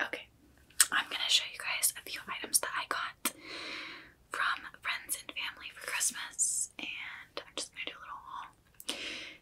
Okay, I'm gonna show you guys a few items that I got from friends and family for Christmas, and I'm just gonna do a little haul.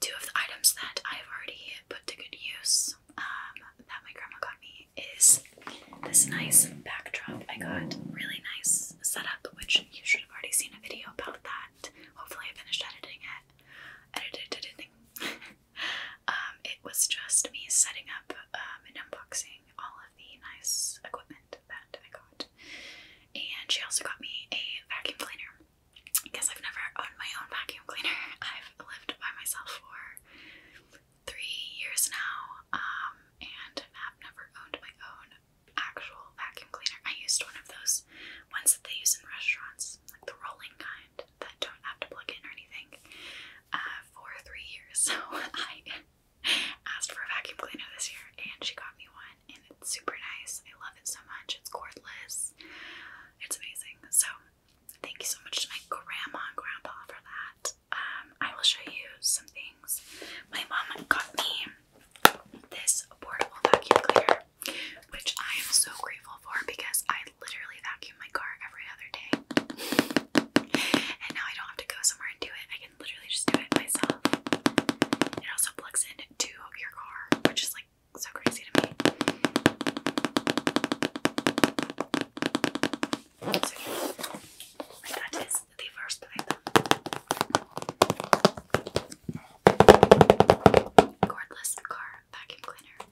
Two of the items that I've already put to good use um, that my grandma got me is this nice backdrop. I got really nice setup, which you should have already seen a video about that. Hopefully, I finished editing it. Edited, editing. Um, it was just me setting up um, and unboxing all of the nice equipment that I got. And she also got me a vacuum cleaner because I've never owned my own vacuum cleaner. I've lived by myself for three years now um, and i have never owned my own actual vacuum cleaner. I used one of those ones that they use in restaurants, like the rolling kind that don't have to plug in or anything uh, for three years. So I asked for a vacuum cleaner this year and she got me one and it's super nice. I love it so much. It's cordless. It's amazing. So thank you so much to my grandma and grandpa for that. Um, I will show you some things. My mom got me this portable vacuum cleaner, which I am so grateful because I literally vacuum my car every other day. And now I don't have to go somewhere and do it. I can literally just do it myself. It also plugs in your car, which is like so crazy to me. So, yeah. that is the first item. Cordless car vacuum cleaner.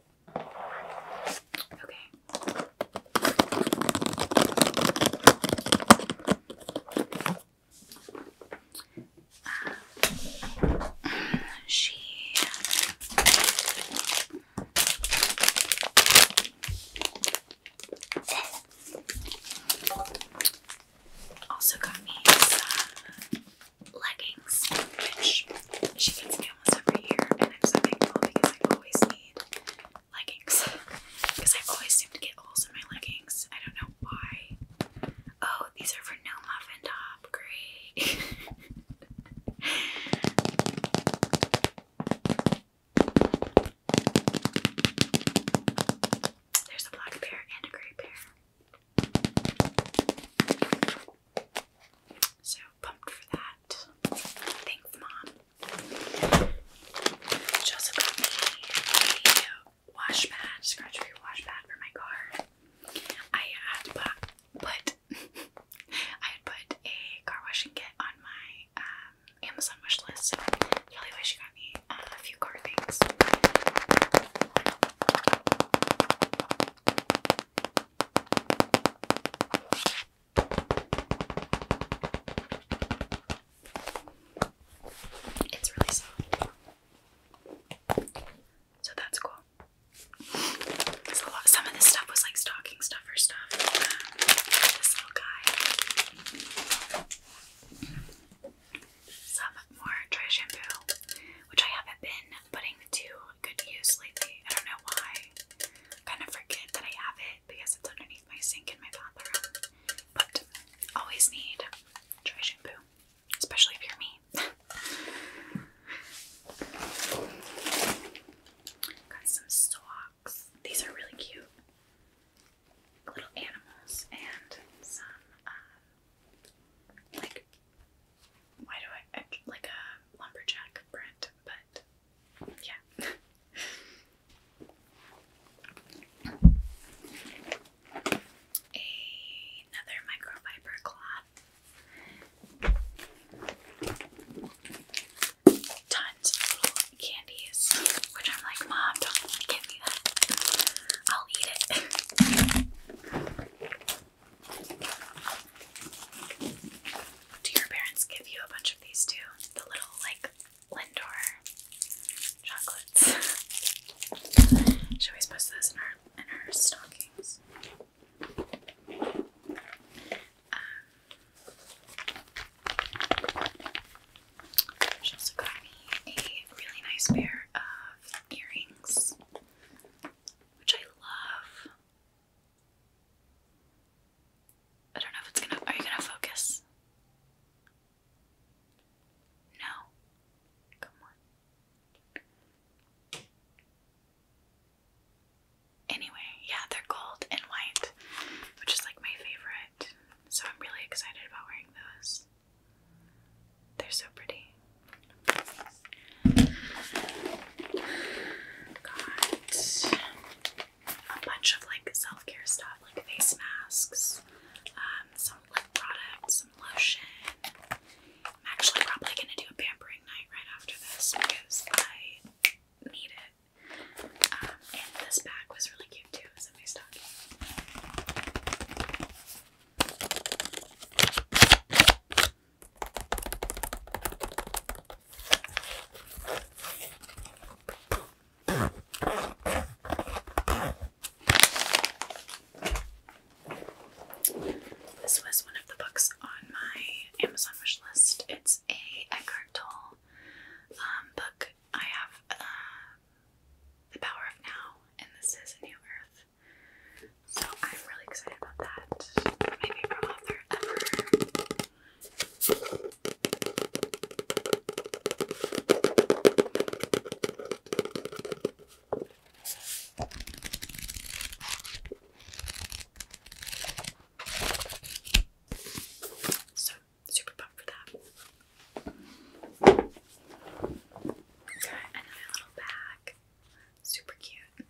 Okay. she also got me leggings, which she gets me almost every year, and I'm so thankful because I always need leggings because I always seem to get holes in my leggings. I don't know why. Oh, these are for no muffin top. Great. There's a black pair and a gray pair. So pumped for that. Thanks, Mom. She got me a wash pad, scratch free wash pad for my car. I had put, I had put a car washing kit on my um, Amazon wish list. So really wish she got me a few car things. It's really soft. So that's cool. some of this stuff was like stocking stuffer stuff. this little guy. Some more dry shampoo, which I haven't been putting to good use lately. I don't know why kind of forget that I have it because it's underneath my sink in my bathroom. But always need dry shampoo, especially if you're me. Got some socks. These are really cute. Little animals and some um, like why do I like a lumberjack print, but yeah. Another microfiber cloth. Tons of little candies, which I'm like, Mom, don't give me that. I'll eat it. Do your parents give you a bunch of these too? The little like Lindor chocolates. Should we post those in our in our stockings? Um, she also got me a really nice pair of earrings, which I love. I don't know if it's gonna. Are you gonna focus? No. Come on. Anyway, yeah, they're gold and white, which is like my favorite. So I'm really excited about wearing those. They're so pretty. Got a bunch of like self care stuff, like face masks, um, some lip products, some lotion. I'm actually probably gonna do a pampering night right after this because I need it. Um, and this bag was really cute too, it's in my stocking. This was one of the books on my Amazon wish list. It's a Eckhart Tolle um, book. I have uh, The Power of Now, and this is New Earth. So I'm really excited about that. My favorite author ever. So super pumped for that. Okay, and then a little bag. Super cute. I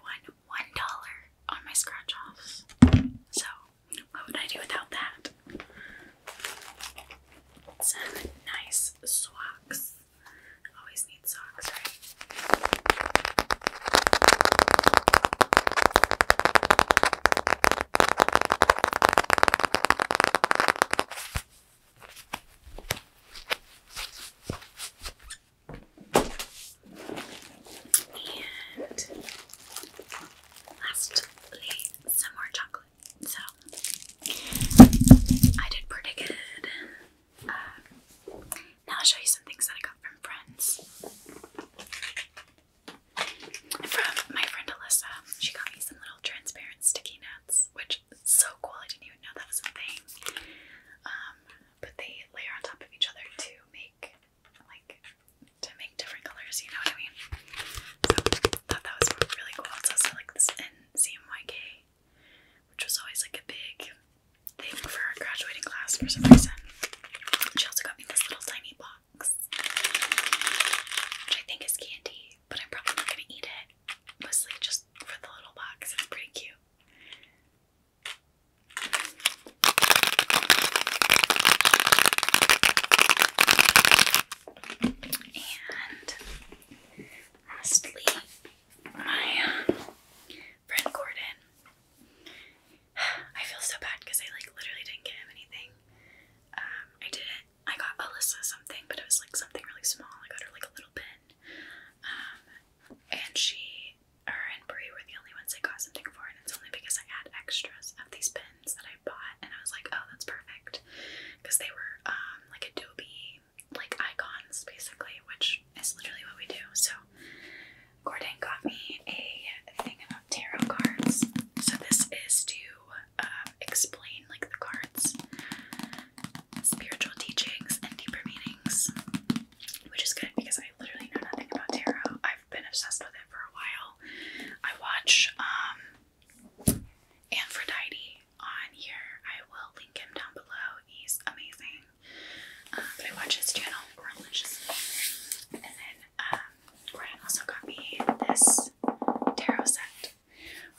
won one dollar on my scratch offs. So, what would I do without that? Some nice swags. Always need socks, right? And lastly, some more chocolate. So I did pretty good. Um, now I'll show you some things that I got from friends. From my friend Alyssa, she got me some little transparent sticky nuts, which so cool. I didn't even know that was a thing. Um, but they layer on top of each other to make like to make different colors. You know what I mean? So thought that was really cool. also like this NCMYK which was always like a big thing for our graduating class for some reason. She also got me this little tiny box, which I think is candy, but I'm probably not gonna eat it. Mostly just for the little box. It's pretty cute. And lastly, my friend Gordon. I feel so bad because I like literally didn't get him anything. Um, I did I got Alyssa something, but it was like something really small. I got her like a little pin. Um, and she, her and Brie were the only ones I got something for, and it's only because I had extras of these pins that I bought, and I was like, oh, that's perfect, because they were um like Adobe like icons basically, which is literally what we do. So Gordon got me a thing about tarot cards. So this is to uh, explain like the cards, spiritual teachings, and deeper meanings, which is good because I literally know nothing about tarot. I've been obsessed with it for a while. I watch um, Aphrodite on here. I will link him down below. He's amazing watching. Um, but I watch his channel, Relentless. And then um, also got me this tarot set,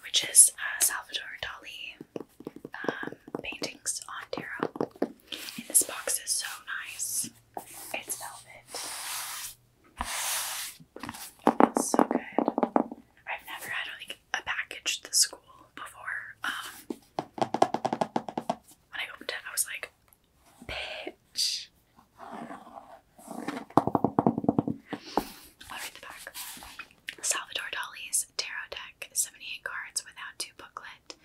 which is uh, Salvador Dali um, paintings on tarot. And this box is so nice. It's velvet. so good. I've never, I do like a package to school before. Um, when I opened it, I was like, bitch. I'll read the back. Salvador Dali's tarot deck, 78 cards without two booklet.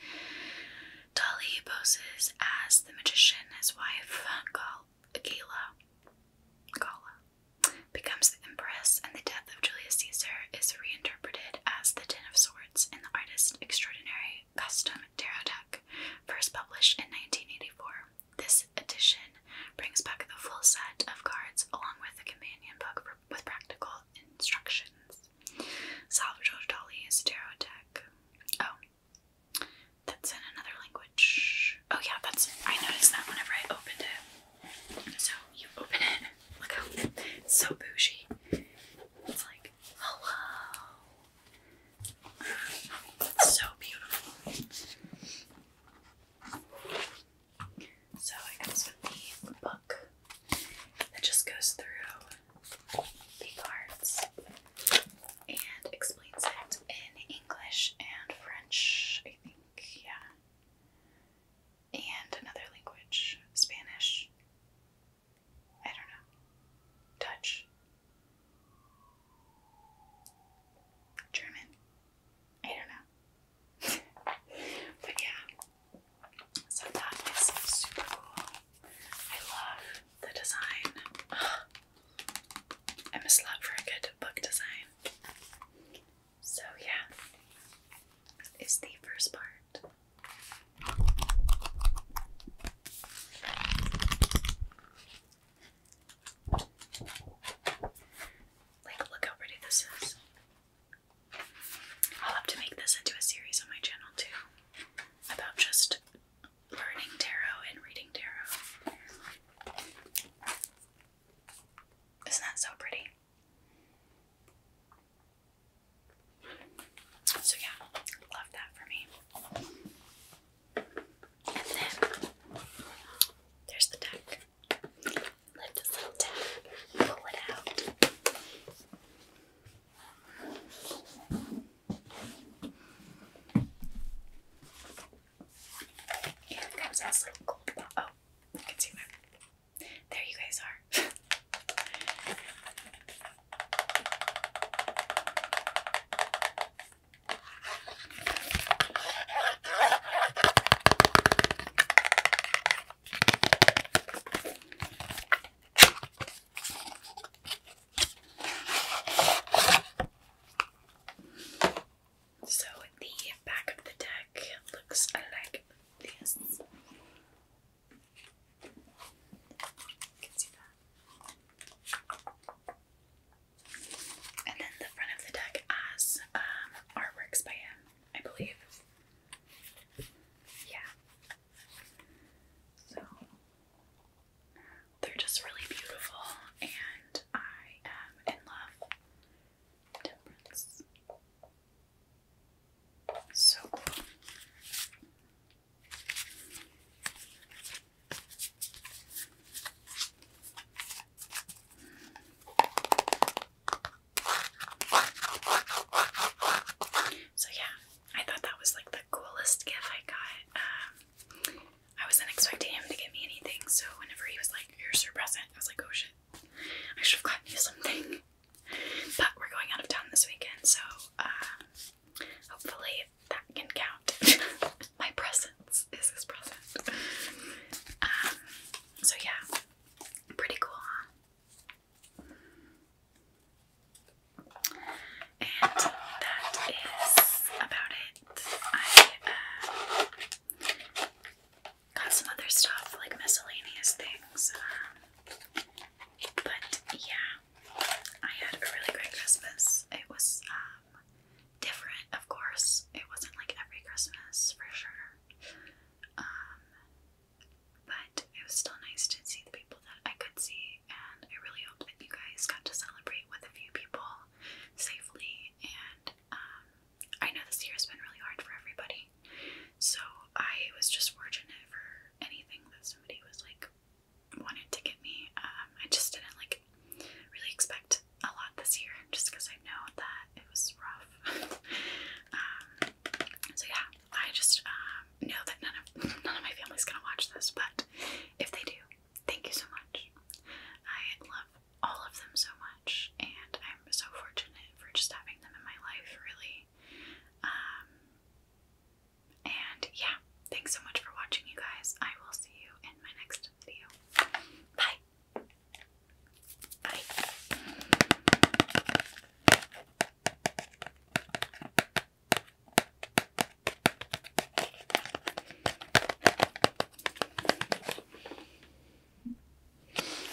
Dali poses as the magician, his wife, Gala, Gala becomes the empress, and the death of Julius Caesar is reinterpreted as The Ten of Swords in the artist Extraordinary Custom Tarot Deck, first published in 1984. This edition brings back the full set of cards along with a companion book with practical instructions. Salvador Dali's Tarot Deck. Oh, that's in another language. Oh, yeah, that's. I noticed that whenever I opened it. So you open it. Look how it's so bougie. It's like, hello. so beautiful. So it comes with book that just goes through the cards and explains it in English and French, I think. Yeah and another language Spanish. I don't know. Dutch. German. I don't know. but yeah. So that is super cool. I love the design. I'm a slut for a good book design. So, yeah, it's the first part. Like, look how pretty this is. I'll have to make this into a series on my channel too about just learning tarot and reading tarot. Isn't that so pretty? So yeah, love that for me. And then there's the deck. Lift this little tab, pull it out. And it comes little gold Oh, you can see my there you guys are. So, the back of the deck back looks like this. And then the front of the deck has um, by him, I believe. Yeah. So they're just really beautiful, and I am in love. Temperance. So cool. So yeah, I thought that was like the coolest gift I got. Um, I wasn't expecting him to get me anything, so whenever he was like, "Here's your present," I was like, "Oh shit, I should have gotten you something." But we're going out of town this weekend, so uh, hopefully that can count. My presence is present. Um, so yeah, pretty cool, huh? And that is about it. I uh, Got some other stuff like miscellaneous things. Um, but yeah, I had a really great Christmas. It was um, different, of course. It wasn't like every Christmas for sure. Um, but it was still nice to see the people that I could see, and I really hope that you guys got to celebrate with a few people safely and I know this year has been really hard for everybody, so I was just fortunate for anything that somebody was like wanted to get me. Um, I just didn't like really expect a lot this year, just because I know that it was rough. Um, so yeah, I just um, know that none of none of my family's gonna watch this, but if they do, thank you so much. I love all of them so much and I'm so fortunate for just having them in my life, really. Um, and yeah, thanks so much for watching, you guys. I will see you in my next video. Bye. Bye.